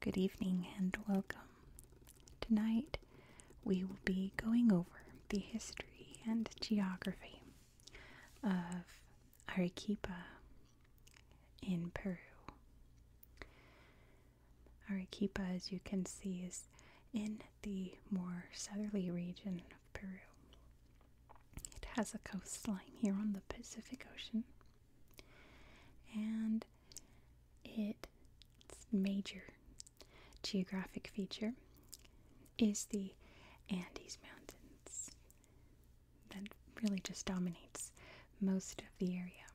Good evening and welcome. Tonight we will be going over the history and geography of Arequipa in Peru. Arequipa, as you can see, is in the more southerly region of Peru. It has a coastline here on the Pacific Ocean, and its major geographic feature is the Andes Mountains that really just dominates most of the area.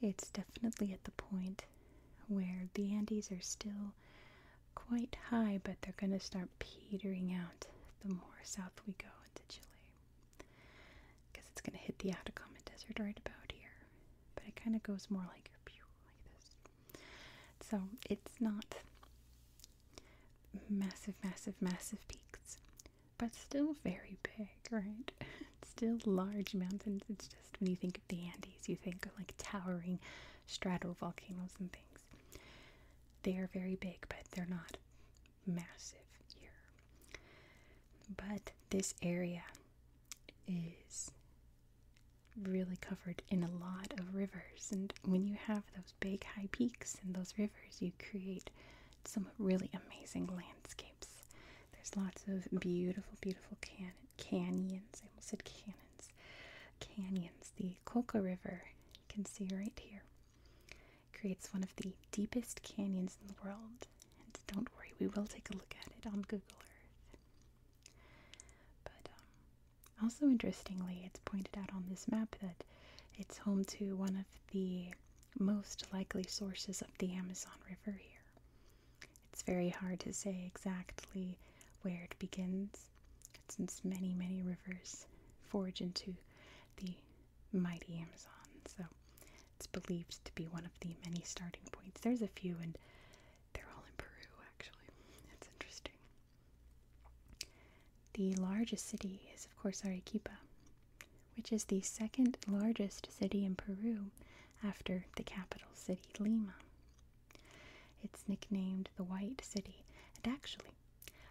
It's definitely at the point where the Andes are still quite high, but they're going to start petering out the more south we go into Chile. Because it's going to hit the Atacama Desert right about here. But it kind of goes more like, pew, like So it's not massive, massive, massive peaks but still very big, right? still large mountains. It's just when you think of the Andes, you think of like towering volcanoes and things. They are very big, but they're not massive here. But this area is really covered in a lot of rivers. And when you have those big high peaks and those rivers, you create some really amazing landscapes. There's lots of beautiful, beautiful can canyons. I almost said cannons. Canyons. The Coca River, you can see right here, creates one of the deepest canyons in the world. And don't worry, we will take a look at it on Google Earth. But um, also interestingly, it's pointed out on this map that it's home to one of the most likely sources of the Amazon River here. It's very hard to say exactly where it begins, since many, many rivers forge into the mighty Amazon. So it's believed to be one of the many starting points. There's a few, and they're all in Peru, actually. that's interesting. The largest city is, of course, Arequipa, which is the second largest city in Peru after the capital city, Lima. It's nicknamed the White City, and actually,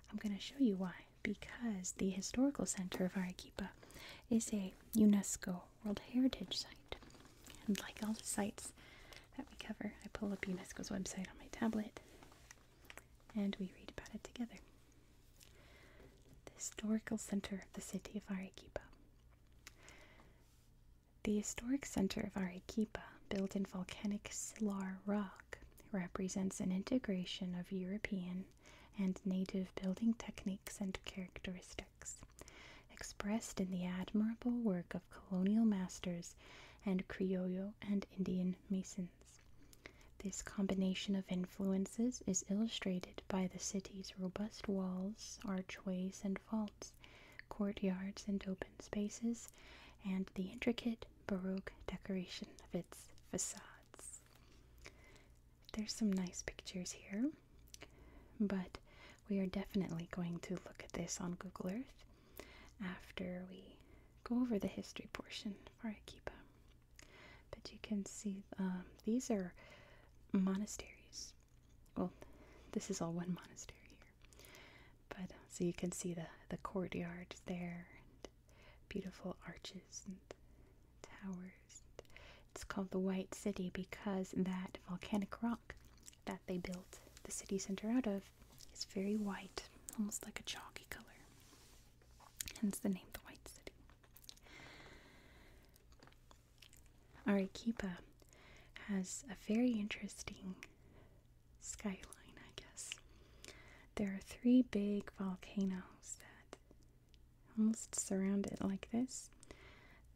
I'm going to show you why. Because the historical center of Arequipa is a UNESCO World Heritage Site. And like all the sites that we cover, I pull up UNESCO's website on my tablet and we read about it together. The historical center of the city of Arequipa. The historic center of Arequipa, built in volcanic Silar rock, represents an integration of European and native building techniques and characteristics, expressed in the admirable work of colonial masters and Criollo and Indian masons. This combination of influences is illustrated by the city's robust walls, archways, and vaults, courtyards, and open spaces, and the intricate Baroque decoration of its facades. There's some nice pictures here, but we are definitely going to look at this on Google Earth after we go over the history portion for Akiba. But you can see um, these are monasteries. Well, this is all one monastery here. But uh, so you can see the the courtyard there, beautiful arches and towers. it's called the White City because that volcanic rock that they built the city center out of is very white, almost like a chalky color. Hence the name the White City. Arequipa has a very interesting skyline, I guess. There are three big volcanoes that almost surround it like this.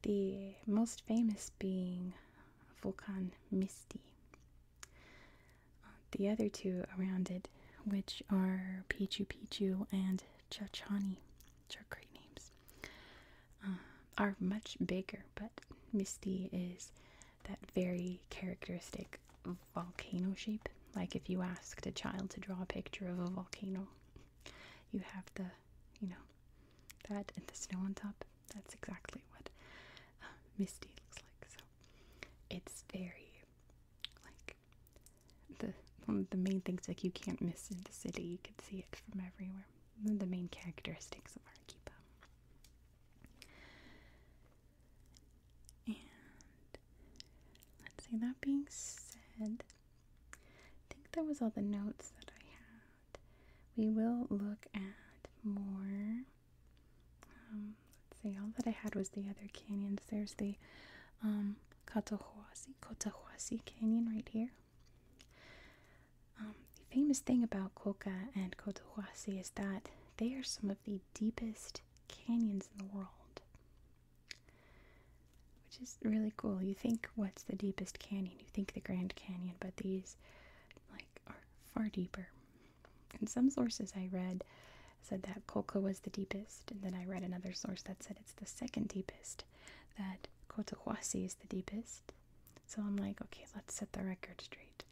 The most famous being Volcan Misti the other two around it, which are Pichu Pichu and Chachani, which are great names, uh, are much bigger. But Misty is that very characteristic volcano shape. Like if you asked a child to draw a picture of a volcano, you have the, you know, that and the snow on top. That's exactly what uh, Misty looks like. So it's very like the one of the main things like you can't miss in the city. You can see it from everywhere. the main characteristics of Arquipa. And let's say That being said, I think that was all the notes that I had. We will look at more. Um, let see, all that I had was the other canyons. There's the um, Cotahuasi, Cotahuasi Canyon right here. Um, the famous thing about Coca and Cotahuasi is that they are some of the deepest canyons in the world. Which is really cool. You think, what's the deepest canyon? You think the Grand Canyon, but these, like, are far deeper. In some sources I read, said that Kolka was the deepest, and then I read another source that said it's the second deepest, that Cotahuasi is the deepest. So I'm like, okay, let's set the record straight.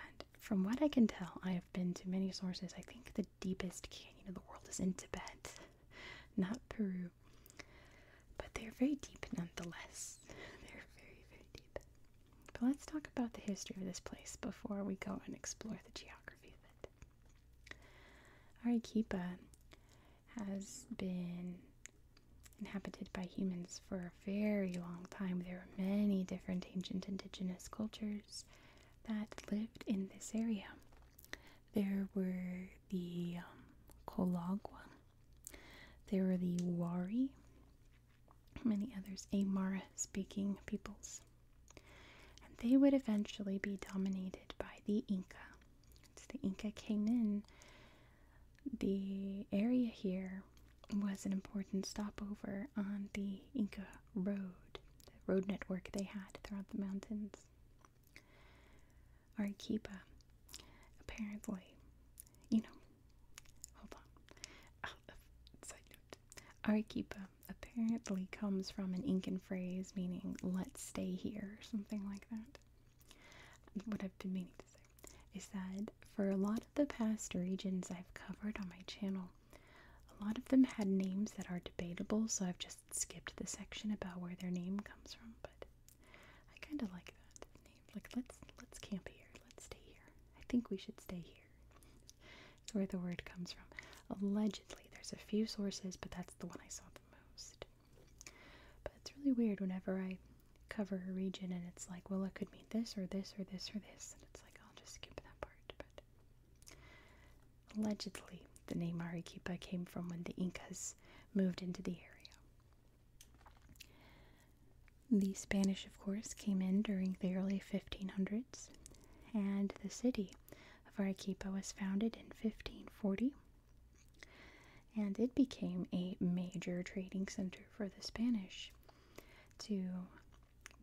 And from what I can tell, I have been to many sources. I think the deepest canyon of the world is in Tibet, not Peru. But they're very deep nonetheless. They're very, very deep. But let's talk about the history of this place before we go and explore the geography of it. Arequipa has been inhabited by humans for a very long time. There are many different ancient indigenous cultures that lived in this area. There were the um, Colagua, there were the Wari, many others, Amara speaking peoples. And they would eventually be dominated by the Inca. Once the Inca came in, the area here was an important stopover on the Inca road, the road network they had throughout the mountains. Arequipa, apparently, you know, hold on. Side apparently comes from an Incan phrase meaning let's stay here or something like that. What I've been meaning to say is that for a lot of the past regions I've covered on my channel, a lot of them had names that are debatable, so I've just skipped the section about where their name comes from, but I kinda like that name. Like let's let's camp here, let's stay here. I think we should stay here where the word comes from. Allegedly, there's a few sources, but that's the one I saw the most. But it's really weird whenever I cover a region and it's like, well, it could mean this or this or this or this. And it's like, I'll just skip that part. But allegedly, the name Arequipa came from when the Incas moved into the area. The Spanish, of course, came in during the early 1500s, and the city Arequipa was founded in 1540 and it became a major trading center for the Spanish to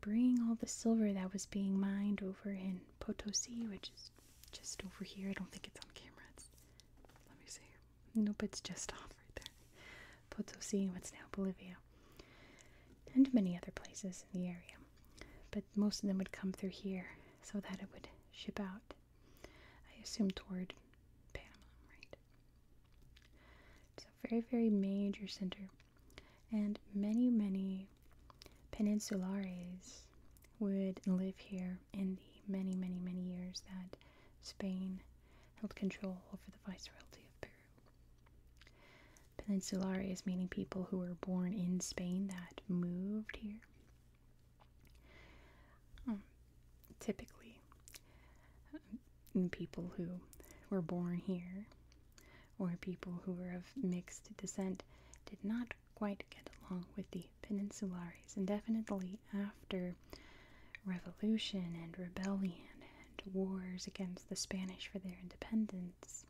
bring all the silver that was being mined over in Potosi, which is just over here. I don't think it's on camera. let me see. Nope, it's just off right there. Potosi, what's now Bolivia and many other places in the area. But most of them would come through here so that it would ship out, I assume, toward Panama, right? It's a very, very major center, and many, many peninsulares would live here in the many, many, many years that Spain held control over the Viceroyalty of Peru. Peninsulares, meaning people who were born in Spain that moved here. Um, typically, um, people who were born here or people who were of mixed descent did not quite get along with the peninsulares and definitely after revolution and rebellion and wars against the spanish for their independence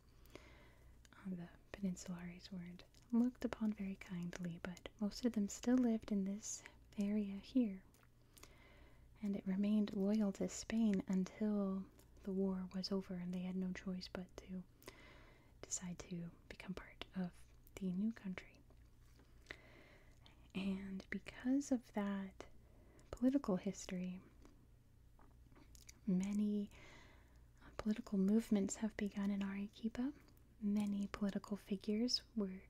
the peninsularies were looked upon very kindly, but most of them still lived in this area here. And it remained loyal to Spain until the war was over and they had no choice but to decide to become part of the new country. And because of that political history, Many uh, political movements have begun in Arequipa. Many political figures were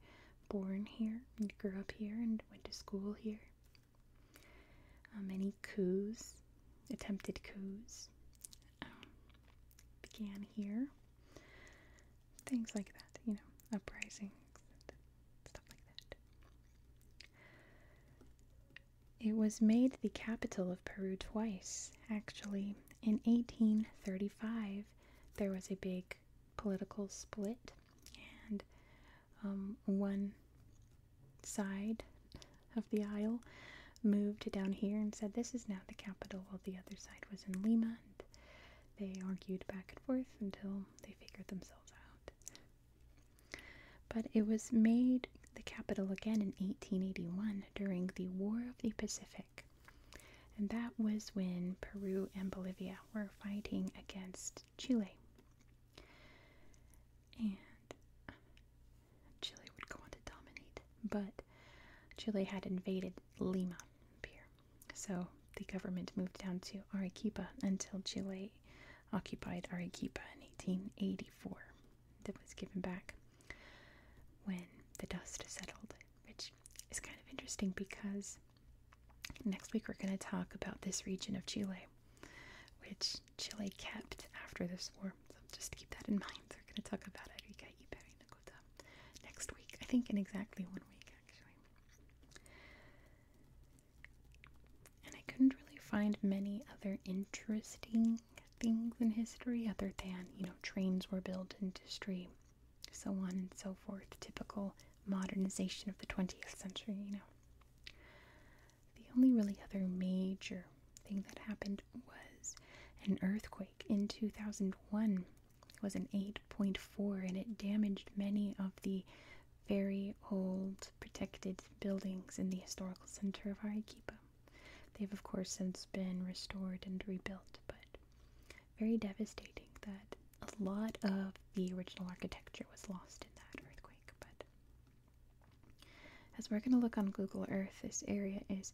born here and grew up here and went to school here. Uh, many coups, attempted coups, um, began here. Things like that, you know, uprisings, stuff like that. It was made the capital of Peru twice, actually. In 1835, there was a big political split, and um, one side of the aisle moved down here and said this is now the capital, while the other side was in Lima. they argued back and forth until they figured themselves out. But it was made the capital again in 1881 during the War of the Pacific. And that was when Peru and Bolivia were fighting against Chile. And Chile would go on to dominate, but Chile had invaded Lima here. So the government moved down to Arequipa until Chile occupied Arequipa in 1884, that was given back when the dust settled, which is kind of interesting because next week we're going to talk about this region of Chile, which Chile kept after this war. So just keep that in mind. We're going to talk about Arica y Parinacota next week. I think in exactly one week, actually. And I couldn't really find many other interesting things in history other than, you know, trains were built, industry, so on and so forth. Typical modernization of the 20th century, you know. The only really other major thing that happened was an earthquake in 2001. It was an 8.4 and it damaged many of the very old protected buildings in the historical center of Arequipa. They've, of course, since been restored and rebuilt, but very devastating that a lot of the original architecture was lost in that earthquake. But as we're going to look on Google Earth, this area is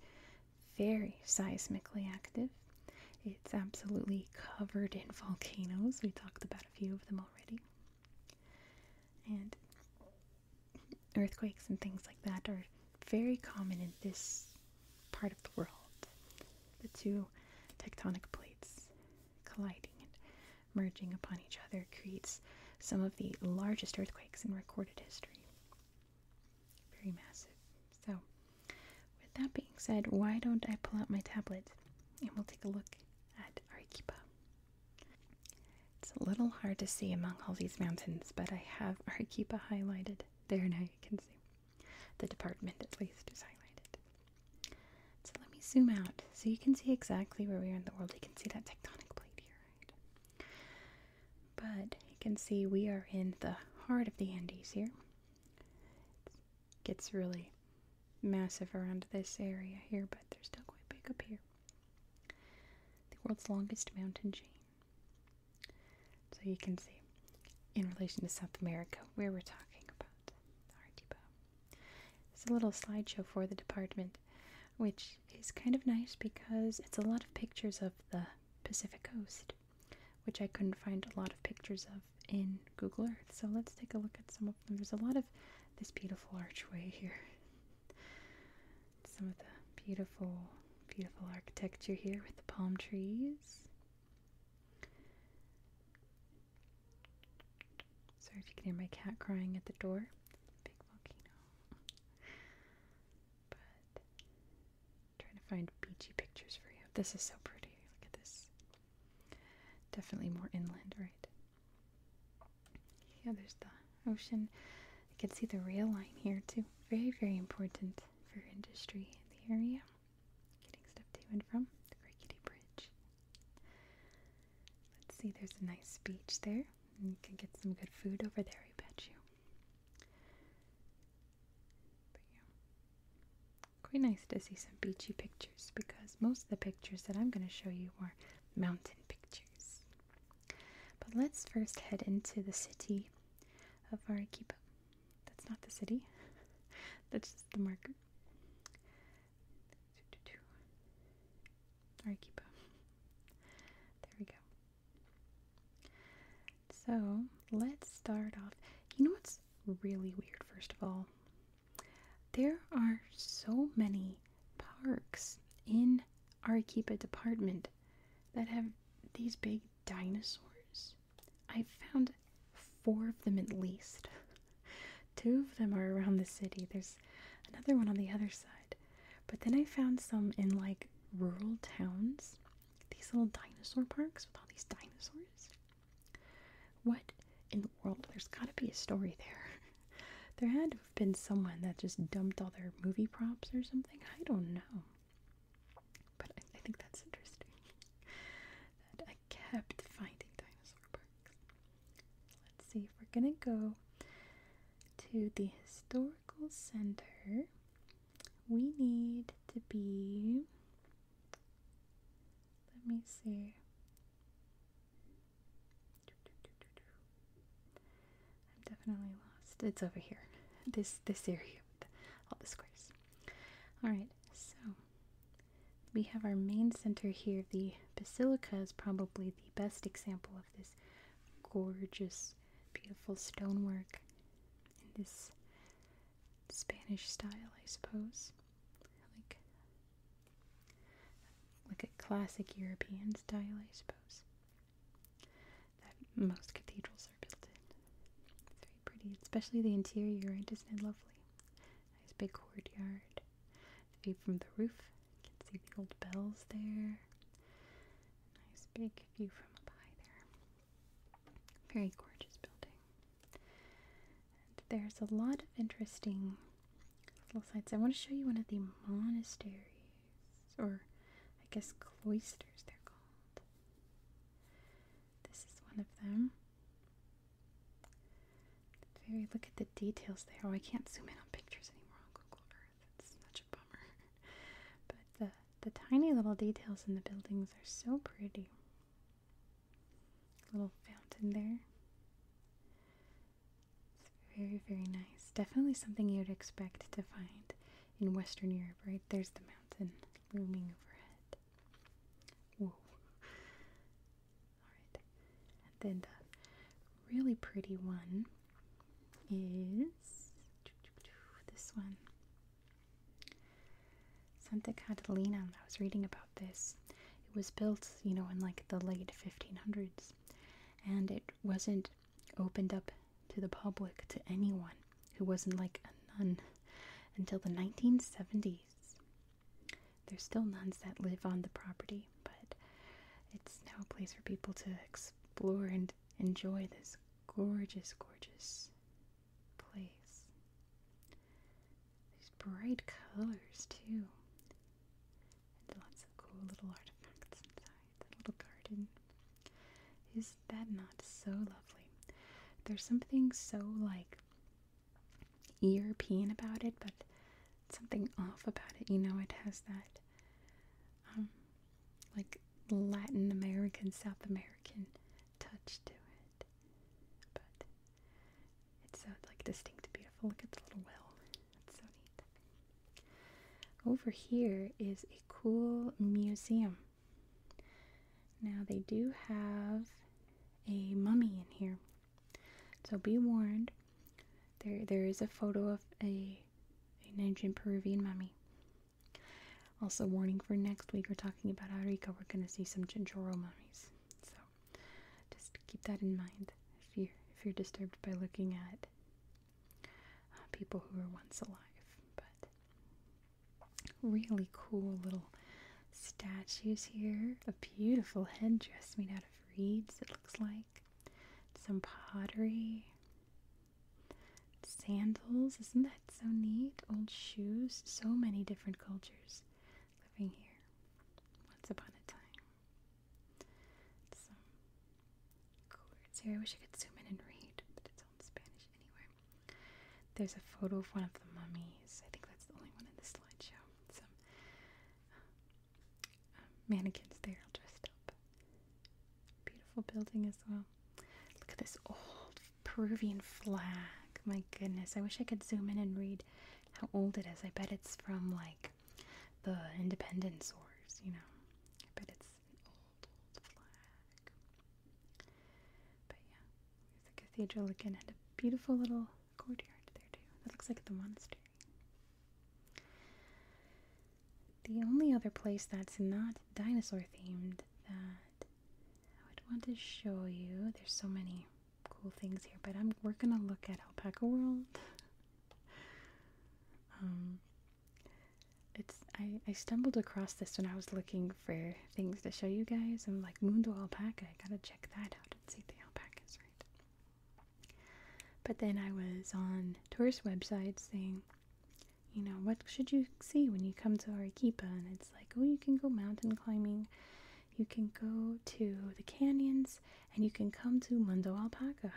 very seismically active. It's absolutely covered in volcanoes. We talked about a few of them already. And earthquakes and things like that are very common in this part of the world. The two tectonic plates colliding and merging upon each other creates some of the largest earthquakes in recorded history. Very massive. So, with that being said, why don't I pull out my tablet and we'll take a look at Arequipa. It's a little hard to see among all these mountains, but I have Arequipa highlighted. There now you can see. The department at least is highlighted. So let me zoom out so you can see exactly where we are in the world. You can see that tectonic plate here, right? But you can see we are in the heart of the Andes here. It gets really massive around this area here, but they're still quite big up here. The world's longest mountain chain. So you can see, in relation to South America, where we're talking about Artiba. There's a little slideshow for the department, which is kind of nice because it's a lot of pictures of the Pacific coast, which I couldn't find a lot of pictures of in Google Earth. So let's take a look at some of them. There's a lot of this beautiful archway here. Some of the beautiful, beautiful architecture here with the palm trees. Sorry if you can hear my cat crying at the door. Big volcano. But trying to find beachy pictures for you. This is so pretty. Look at this. Definitely more inland, right? Yeah, there's the ocean. You can see the rail line here too. Very, very important for industry in the area. Getting stuff to and from the Great Rickety Bridge. Let's see, there's a nice beach there. And you can get some good food over there, I bet you. But Quite nice to see some beachy pictures because most of the pictures that I'm going to show you mountain pictures. But let's first head into the city of Arequipa. That's not the city, that's just the marker. Arequipa. There we go. So let's start off. You know what's really weird, first of all? There are so many parks in Arequipa Department that have these big dinosaurs. I found four of them at least. Two of them are around the city. There's another one on the other side. But then I found some in like rural towns. These little dinosaur parks with all these dinosaurs. What in the world? There's got to be a story there. there had to have been someone that just dumped all their movie props or something. I don't know. But I, think that's interesting. that I kept finding dinosaur parks. Let's see if we're gonna go to the historical center. We need to be. Let me see. I'm definitely lost. It's over here. This this area with all the squares. Alright, so we have our main center here. The basilica is probably the best example of this gorgeous, beautiful stonework in this Spanish style, I suppose. Like a classic European style, I suppose, that most cathedrals are built in. It's very pretty, especially the interior, right? Isn't lovely? Nice big courtyard. view from the roof, you can see the old bells there. Nice big view from up high there. Very gorgeous building there's a lot of interesting little sites. I want to show you one of the monasteries, or I guess cloisters they're called. This is one of them. Very look at the details there. Oh, I can't zoom in on pictures anymore on Google Earth. It's such a bummer. but the the tiny little details in the buildings are so pretty. Little fountain there. It's very, very nice. Definitely something you'd expect to find in Western Europe, right? There's the mountain looming overhead. Whoa. Alright. And then the really pretty one is this one. Santa Catalina. I was reading about this. It was built, you know, in like the late 1500s, and it wasn't opened up to the public to anyone who wasn't like a nun until the 1970s. There's still nuns that live on the property, but it's now a place for people to explore and enjoy this gorgeous, gorgeous place. These bright colors too. And lots of cool little artifacts inside that little garden. Is that not so lovely? There's something so like European about it, but something off about it. You know, it has that um, like Latin American, South American touch to it. But it's like distinct, beautiful. Look at the little well. It's so neat. Over here is a cool museum. Now they do have a mummy in here. So be warned. There there is a photo of a a Nigerian Peruvian mummy. Also warning for next week we're talking about Arica, we're gonna see some Chinchorro mummies. So just keep that in mind if you're, if you're disturbed by looking at uh, people who were once alive. But really cool little statues here. A beautiful headdress made out of reeds, it looks like. Some pottery. Sandals, isn't that so neat? Old shoes, so many different cultures living here once upon a time. Some chords here. I wish I could zoom in and read, but it's all in Spanish anyway. There's a photo of one of the mummies. I think that's the only one in the slideshow. Some uh, um, mannequins there, all dressed up. Beautiful building as well. Look at this old Peruvian flag. My goodness, I wish I could zoom in and read how old it is. I bet it's from like the independence wars, you know. I bet it's an old, old flag. But yeah, there's the cathedral again and a beautiful little courtyard there too. That looks like the monastery. The only other place that's not dinosaur themed that I would want to show you. There's so many cool things here, but I'm we're gonna look at Alpaca World. Um, it's I I stumbled across this when I was looking for things to show you guys. I'm like Mundo Alpaca. I gotta check that out and see the alpacas, right? But then I was on tourist websites saying, you know, what should you see when you come to Arequipa? And it's like, oh, you can go mountain climbing, you can go to the canyons and you can come to Mundo Alpaca.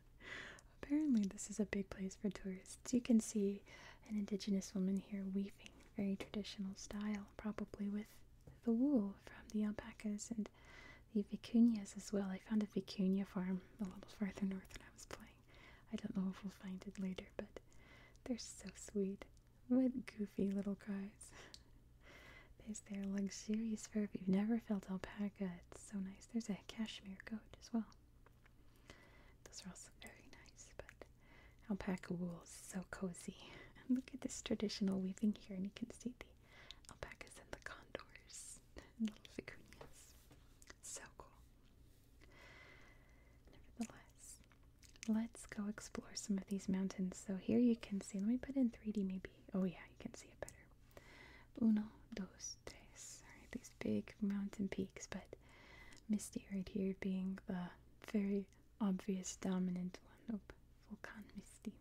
Apparently, this is a big place for tourists. You can see an indigenous woman here weaving, very traditional style, probably with the wool from the alpacas and the vicuñas as well. I found a vicuña farm a little farther north than I was playing. I don't know if we'll find it later, but they're so sweet with goofy little cries. There's their luxurious fur. If you've never felt alpaca, it's so nice. There's a cashmere coat as well. Those are also very nice, but alpaca wool is so cozy. look at this traditional weaving here, and you can see the alpacas and the condors and little vicuñas. So cool. Nevertheless, Let's go explore some of these mountains. So here you can see, let me put in 3D maybe. Oh yeah, you can see it better. Uno, dos, tres. Alright, these big mountain peaks, but Misty right here being the very obvious dominant one. Nope. Volcan Misty.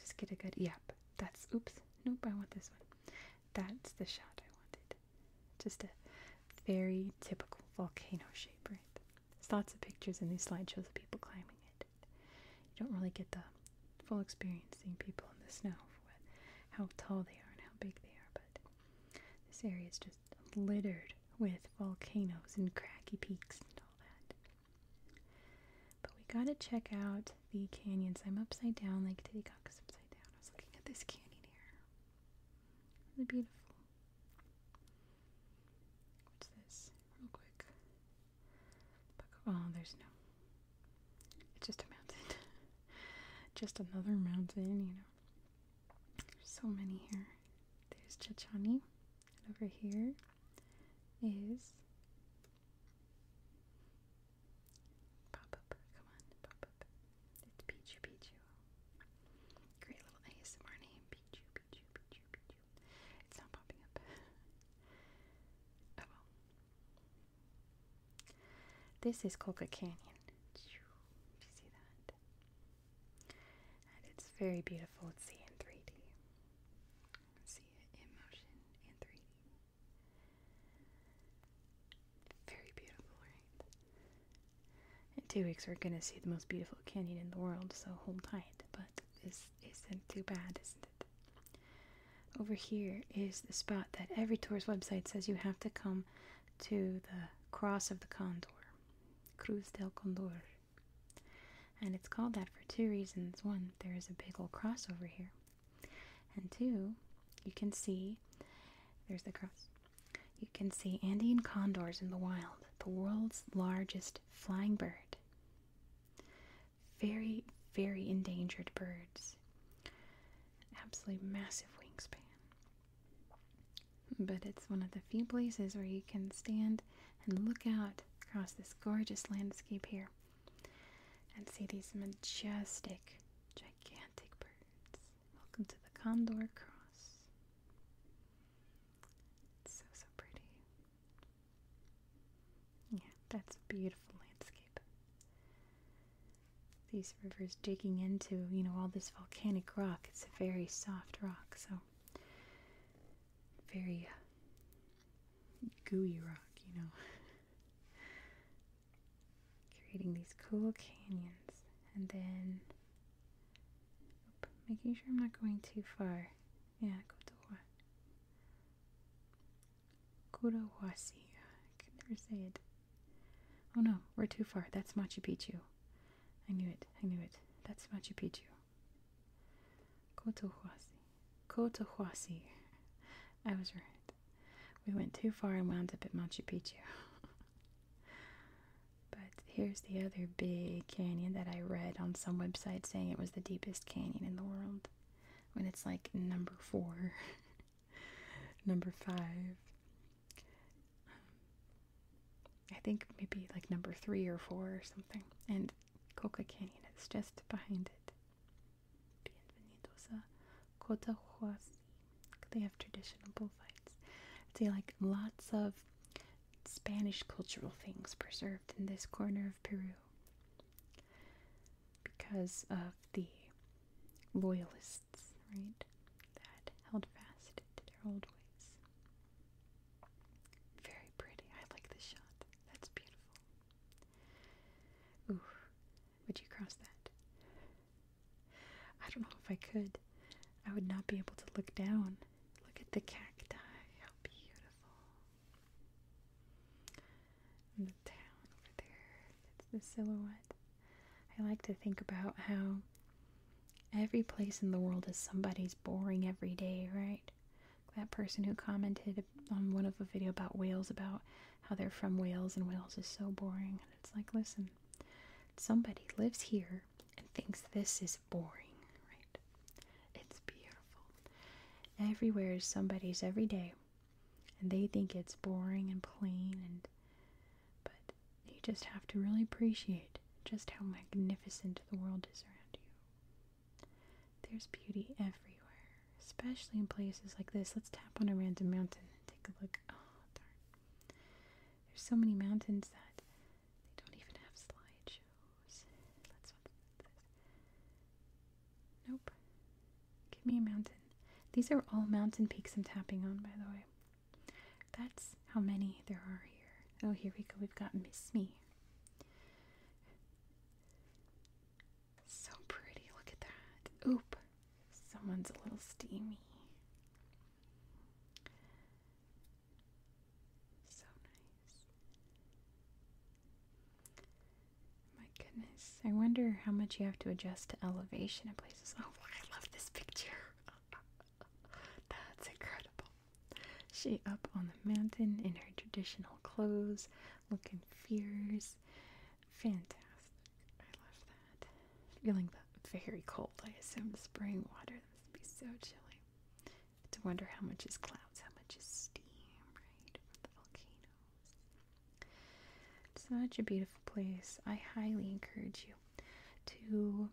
Just get a good yep. That's oops. Nope, I want this one. That's the shot I wanted. Just a very typical volcano shape, right? There's lots of pictures in these slideshows of people climbing it. You don't really get the full experience seeing people in the snow for how tall they are and how big they are, but this area is just littered with volcanoes and cracky peaks and all that. But we gotta check out the canyons. I'm upside down like Titicaca's upside down. I was looking at this canyon here. Really beautiful. What's this? Real quick. Oh, there's no. It's just a mountain. just another mountain, you know. There's so many here. There's Chichani. And over here is. Pop up. Come on, pop up. It's Peachy Peachy. Great little ASMR name. It's not popping up. oh well. This is Coca Canyon. Did you see that? And it's very beautiful to see in 3D. See it in motion in 3D. Very beautiful, right? In two weeks, we're gonna see the most beautiful canyon in the world, so hold tight. But this isn't too bad, isn't it? Over here is the spot that every tourist website says you have to come to the Cross of the Condor, Cruz del Condor. And it's called that for two reasons. One, there is a big old cross over here. And two, you can see there's the cross. You can see Andean condors in the wild, the world's largest flying bird. Very, very endangered birds. Absolutely massive wingspan. But it's one of the few places where you can stand and look out across this gorgeous landscape here and see these majestic, gigantic birds. Welcome to the Condor Cross. so, so pretty. Yeah, that's a beautiful landscape. These rivers digging into, you know, all this volcanic rock. It's a very soft rock, so very uh, gooey rock, you know. Creating these cool canyons. And then Making sure I'm not going too far. Yeah, Kotowa. Kotowasi. I can never say it. Oh no, we're too far. That's Machu Picchu. I knew it. I knew it. That's Machu Picchu. Kotohuasi. Kotohuasi. I was right. We went too far and wound up at Machu Picchu. But here's the other big canyon that I read on some website saying it was the deepest canyon in the world. When it's like number four, number five. I think maybe like number three or four or something. And Coca Canyon is just behind it. Bienvenidos a Cotahuasi. They have traditional bullfights. See, like lots of Spanish cultural things preserved in this corner of Peru because of the loyalists, right? That held fast to their old ways. Very pretty. I like this shot. That's beautiful. Ooh, would you cross that? I don't know if I could. I would not be able to look down. Look at the cacti. How beautiful. the town over there. That's the silhouette. I like to think about how every place in the world is somebody's boring every day, right? That person who commented on one of the video about whales about how they're from Wales and Wales is so boring. And it's like, listen, Somebody lives here and thinks this is boring, right? It's beautiful. Everywhere is somebody's every day, and they think it's boring and plain and but you just have to really appreciate just how magnificent the world is around you. There's beauty everywhere, especially in places like this. Let's tap on a random mountain and take a look. Oh, darn. There's so many mountains that they don't even have slideshows. Nope. Give me a mountain. These are all mountain peaks I'm tapping on, by the way. That's how many there are here. Oh, here we go. We've got Miss Me. So pretty. Look at that. Oop. Someone's a little steamy. So nice. My goodness. I wonder how much you have to adjust to elevation in places. Oh, I love this picture. That's incredible. She up on the mountain in her traditional clothes, looking fierce. Fantastic. I love that. Feeling that very cold. I assume spring water. This would be so chilly. To wonder how much is clouds, how much is steam, right, the volcanoes. It's such a beautiful place. I highly encourage you to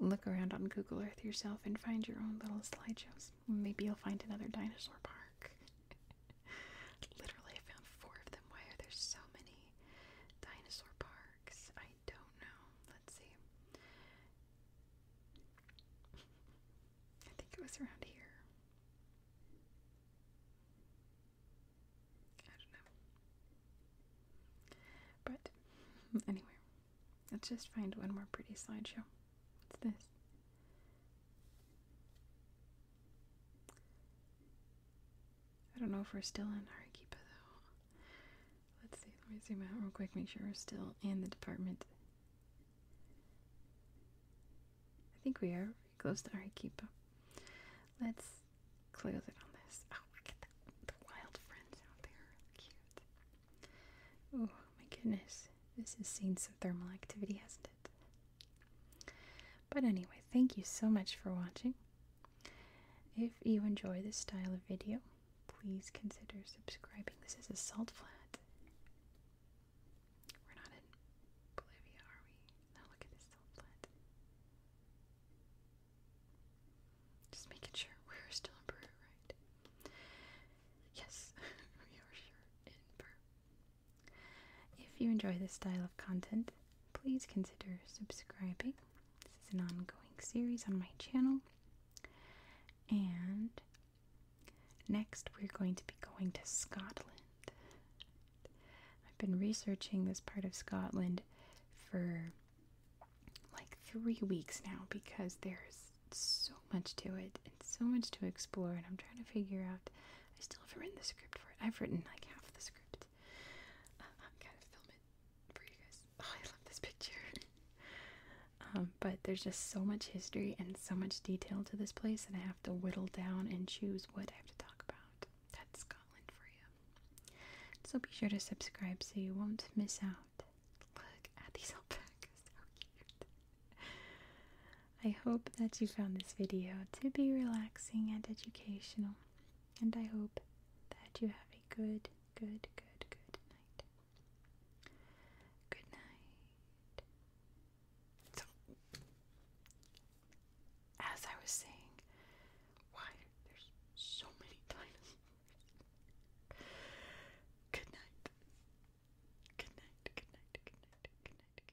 look around on Google Earth yourself and find your own little slideshows. Maybe you'll find another dinosaur park. Literally, I found four of them. Why are there so many dinosaur parks? I don't know. Let's see. I think it was around here. I don't know. But anyway, let's just find one more pretty slideshow. What's this? I don't know if we're still in Arequipa though. Let's see, let me zoom out real quick, make sure we're still in the department. I think we are close to Arequipa. Let's close it on this. Oh, look at the wild friends out there. Cute. Oh my goodness. This has seen some thermal activity, hasn't it? But anyway, thank you so much for watching. If you enjoy this style of video, please consider subscribing. This is a salt flat. We're not in Bolivia, are we? Now look at this salt flat. Just making sure we're still in Peru, right? Yes, we are sure in Peru. If you enjoy this style of content, please consider subscribing. This is an ongoing series on my channel. And next, we're going to be going to Scotland. I've been researching this part of Scotland for like three weeks now because there's so much to it and so much to explore and I'm trying to figure out I still haven't written the script for it. I've written like half the script. Um, I'm kind of film it for you guys. Oh, I love this picture. Um, but there's just so much history and so much detail to this place, and I have to whittle down and choose what I have to talk about. That's Scotland for you. So be sure to subscribe so you won't miss out. Look at these alpacas, how cute. I hope that you found this video to be relaxing and educational and I hope that you have a good, good, good, good night. Good night. So, as I was saying, why there's so many Good night. Good night. Good night. Good night. Good night. Good night. Good night.